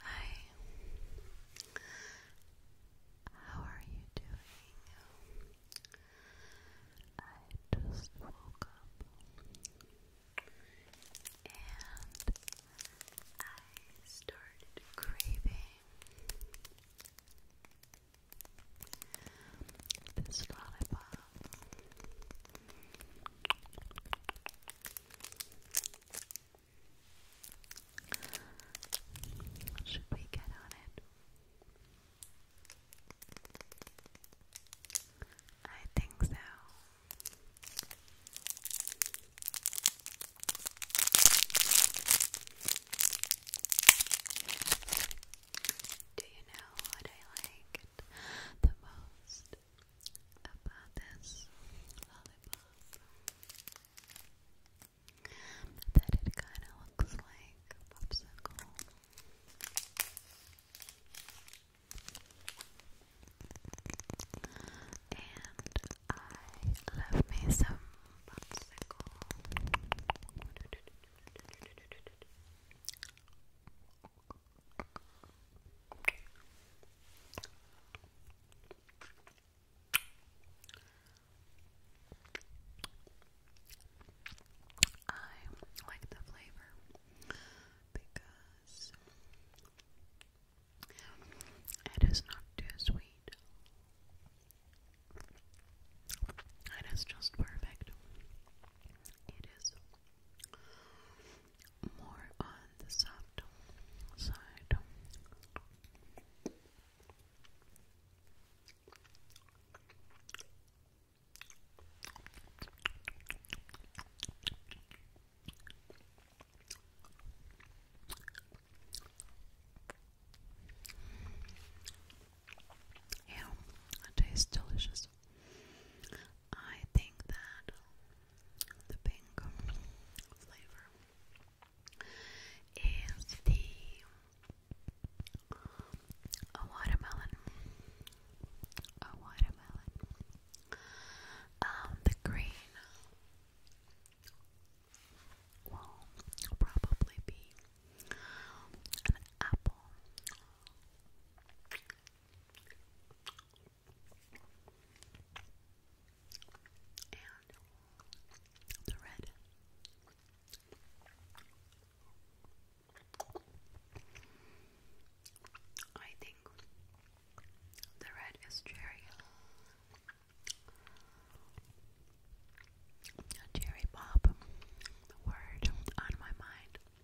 Hi. How are you doing? I just woke up and I started craving this lollipop. Should we get on it? I think so. Do you know what I liked the most about this lollipop that it kind of looks like a popsicle. And I love me some popsicle. I like the flavor because it is not too sweet. It is just perfect. It is more on the soft side. Yeah, tastes delicious. I think that the pink flavor is the a watermelon. A watermelon. Um, the green will probably be an apple and the red. I think the red is cherry, cherry pop. The word on my mind.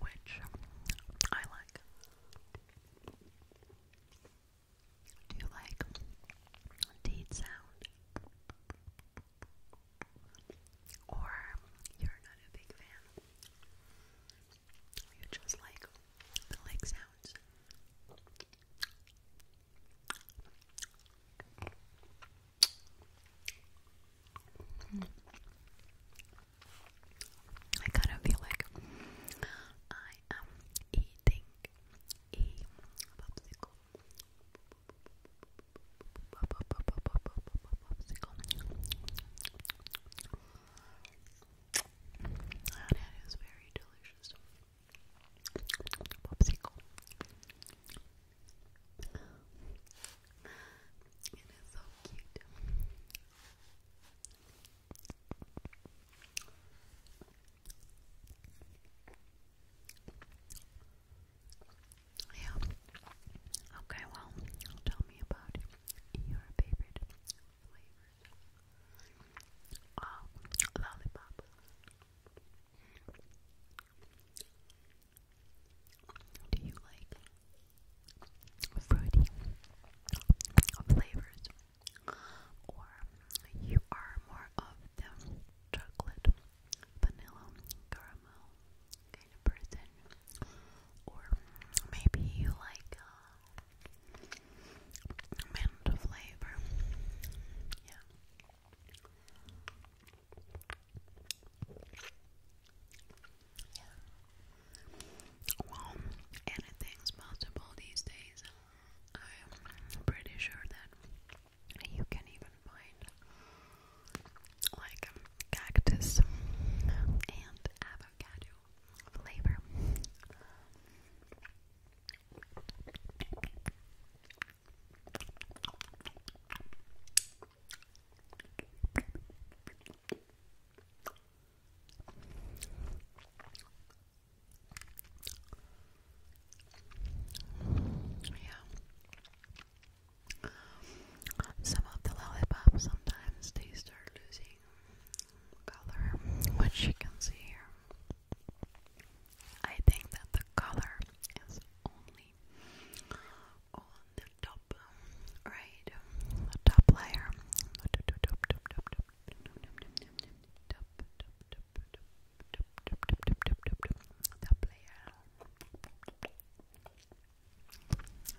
which I like. Do you like deed sound? Or you're not a big fan? You just like the lake sounds? I kind of feel like I am eating popsicle. And very delicious. It is so cute. Yeah. Okay, well, tell me about your favorite flavors. Oh, lollipop. Do you like fruity flavors? Or you are more of the chocolate, vanilla, caramel kind of person? Or maybe you like uh, mint flavor? Yeah. Well, anything's possible these days. I'm pretty sure that you can even find like cactus and avocado flavor. Yeah. Some of the lollipops sometimes they start losing color, which you can here. I think that the color is only on the top right the top layer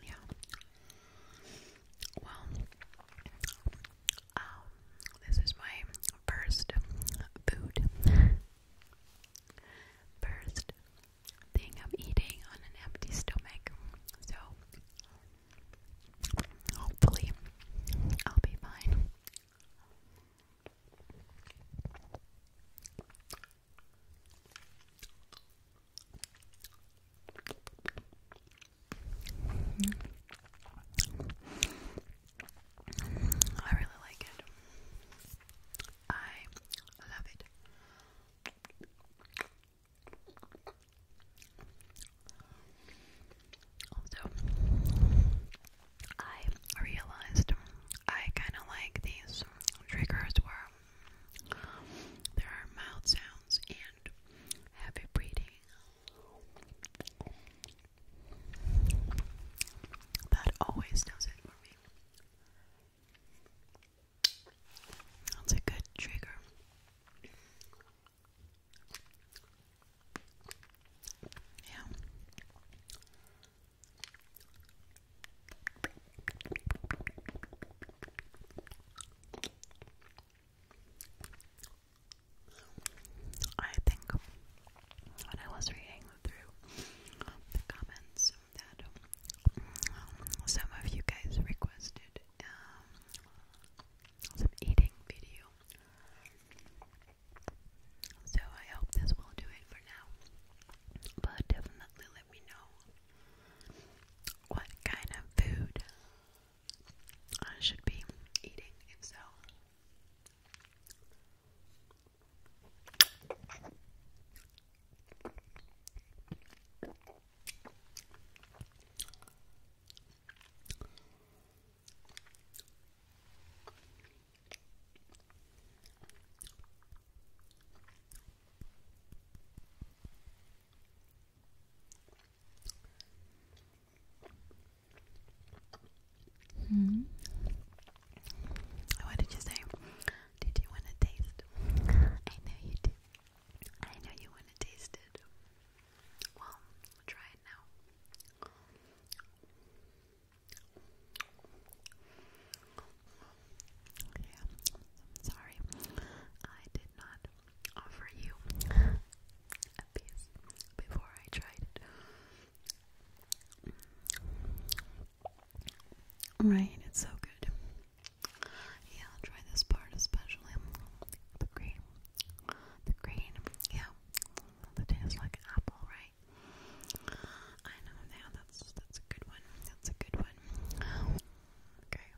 yeah well um, this is my first food First thing I'm eating on an empty stomach, so hopefully I'll be fine. I really like it. I love it. Also, I realized I kind of like these triggers where there are mouth sounds and heavy breathing. That always does it for me. That's a good trigger. Yeah. I think when I was reading through the comments that um, some of you guys requested um, some eating video, so I hope this will do it for now. But definitely let me know what kind of food I should be eating, if so. Hmm. What did you say? Did you want to taste? I know you do. I know you want to taste it. Well, we'll try it now. Yeah, sorry. I did not offer you a piece before I tried it. Right, it's so good. Yeah, I'll try this part especially. The green. The green. Yeah. That tastes like apple, right? I know now that's that's a good one. That's a good one. Okay.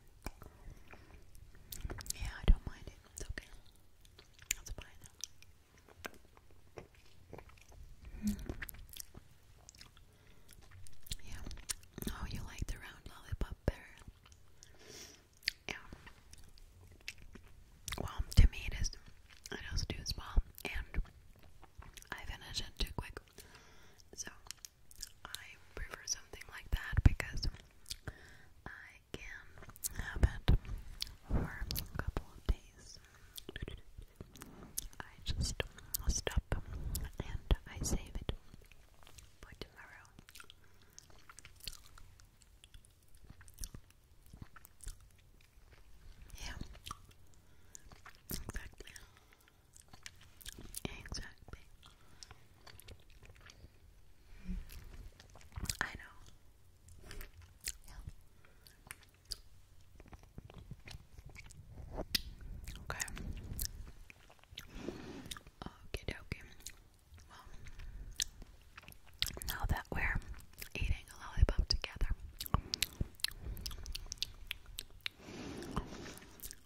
Yeah, I don't mind it. It's okay. That's fine. Mm. Yeah. Oh, you like the round lollipop better. Yeah. Well, to me it is. It also too small, and I finish it too quick. So I prefer something like that because I can have um, for a couple of days. I just stop and I save it for tomorrow. Yeah, exactly. Exactly. I know. Yeah. Okay. Okay, dokie. Well, now that we're eating a lollipop together,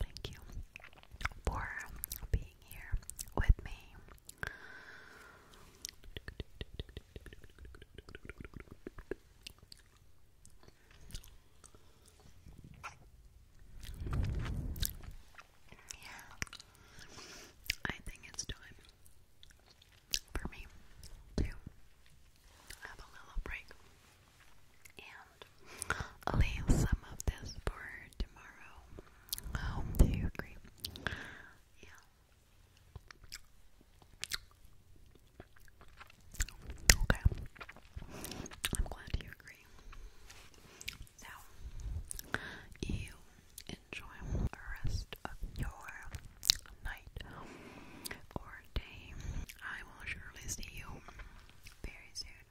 Thank you for being here with me. Yeah. I think it's time for me to have a little break and leave some of this for tomorrow. do you agree? Yeah. Okay. I'm glad you agree. So, you enjoy the rest of your night or day. I will surely see you very soon.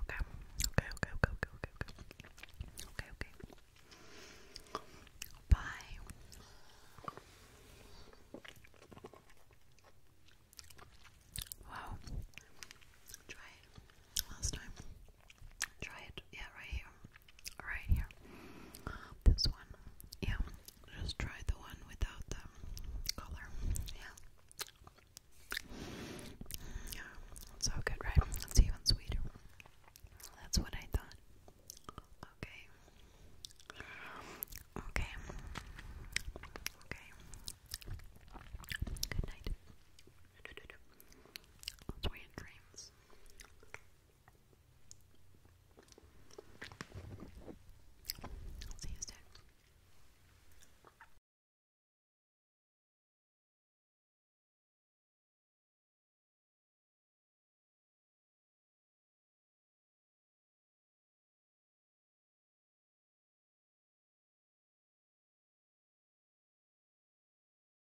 Okay. Okay, okay, okay, okay, okay, okay. Okay, okay. Bye. Wow. Try it. Last time. Try it. Yeah, right here right here. This one, yeah. Just try the one without the color, yeah. Yeah, so good, right? It's even sweeter. That's what I thought. Okay. Okay. Okay. Good night. Sweet dreams. I'll see you soon.